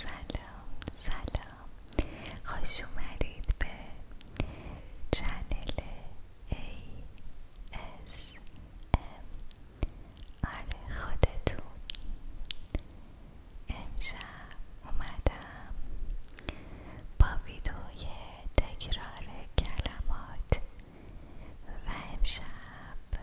سلام سلام سلام خوش اومدید به چنل ASMR آره، خودتون امشب اومدم با ویدیوی تکرار کلمات و امشب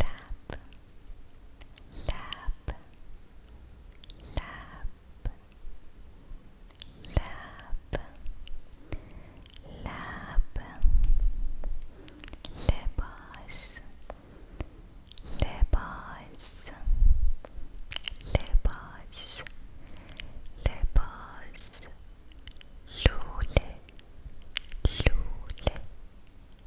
lap lap lap lap lap لباس لباس لباس لباس لولة لولة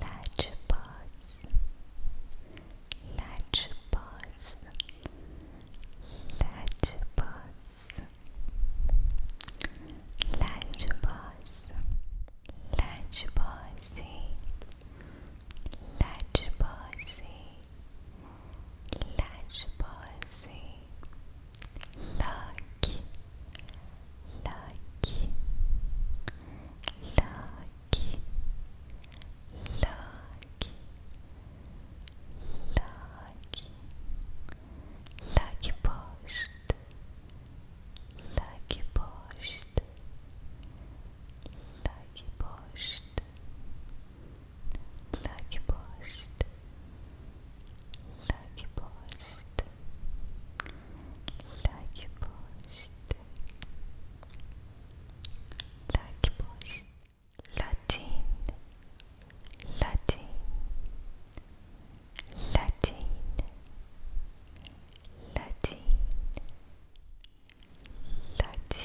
Latch bars, latch bars, latch bars, latch bars, latch bars, latch bars, latch bars, lucky, lucky, lucky, lucky, lucky, lucky post, lucky post, lucky post, lucky post. Lucky post, like post, like post, Latin, Latin, Latin, Latin, Latin, Latin.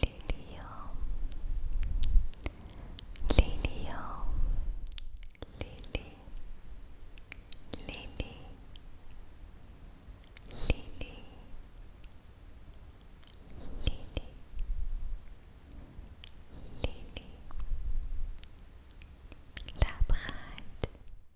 Lilio Lilio Lily Lily Lily Lily Lily Labraad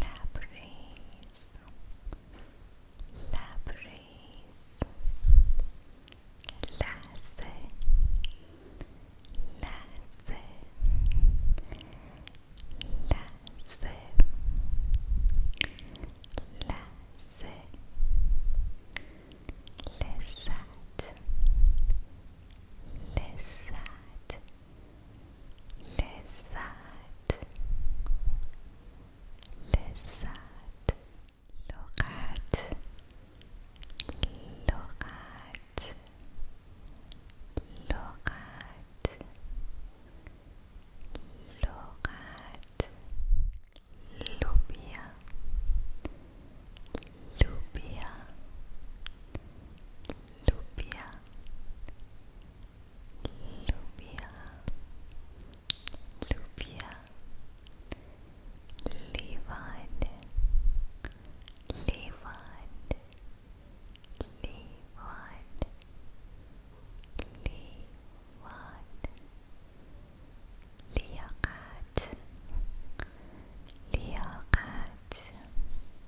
Labrace Labrace Lasse Lasse Lasse Lasse Lissat Lissat لذت لذت لغت لغت لغت لغت لوبيا لوبيا لوبيا Lubia, Lubia, Levan, Levan, Levan, Levan, Liakat, Liakat.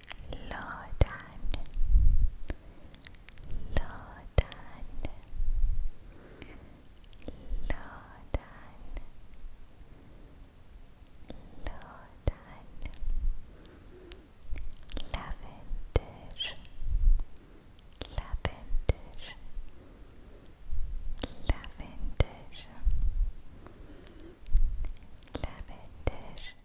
Lodan Lodan Lodan Lodan Lavender Lavender Lavender Lavender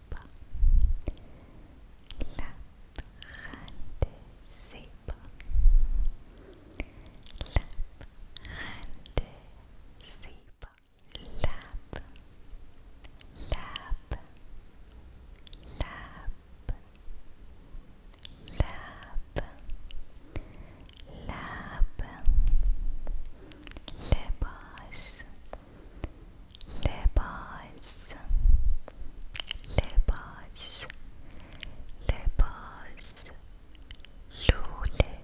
sepa. La gente sepa. La gente Lab, lab, lab, lab, lab, lebas, لباس لباس لباس لولة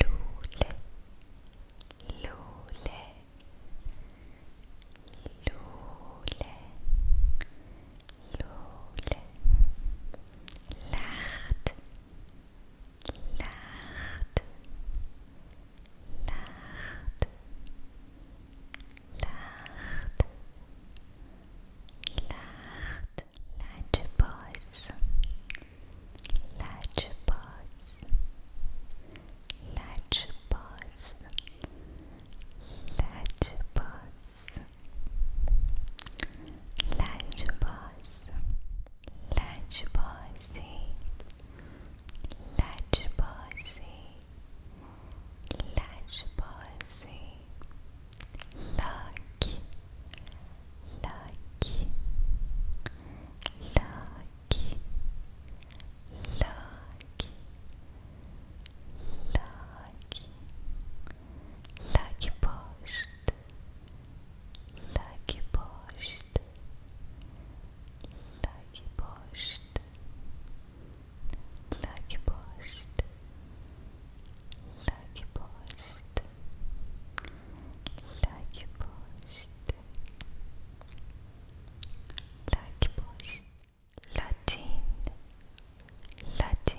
لولة لولة لولة لولة لخت Lacht, lacht, lacht, lacht. Lunchbox, lunchbox, lunchbox, lunchbox, lunchbox. لج بازی لج بازی لج بازی لاک لاک لاک لاک لاک لاک پشت Lucky Post Lucky Post Lucky Post Lucky Post Lucky Post Lucky Post Latin Latin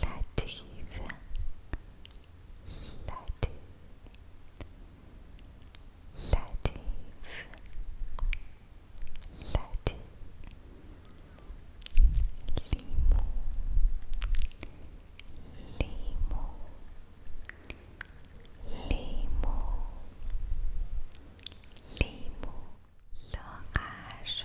Latif Latif Latif Latif Limo Limo Limo Limo L'orage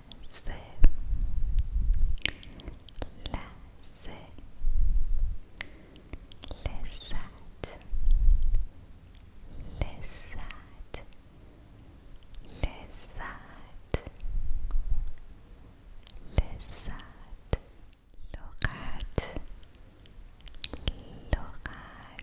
laser, laser, lizard, lizard, lizard, lizard, لغات لغات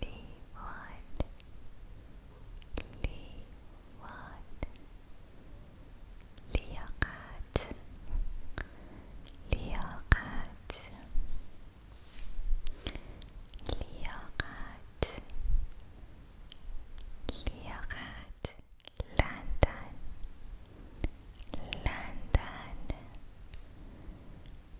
Leeward, Leeward, لياقات لياقات لياقات لياقات لندن لندن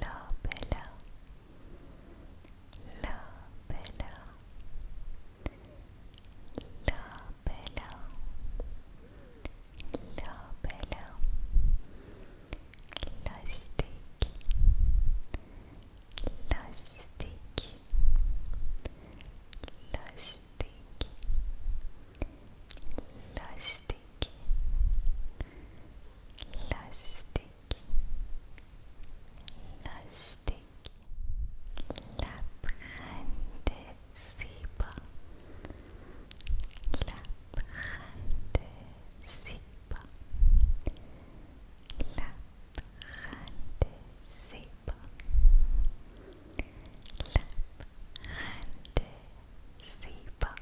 La Bella, La Bella, La Bella, La Bella, Lastik, Lastik, Lastik, Lastik. Lastik lustig, lappende Zebra, lappende Zebra, lappende Zebra, lappende Zebra.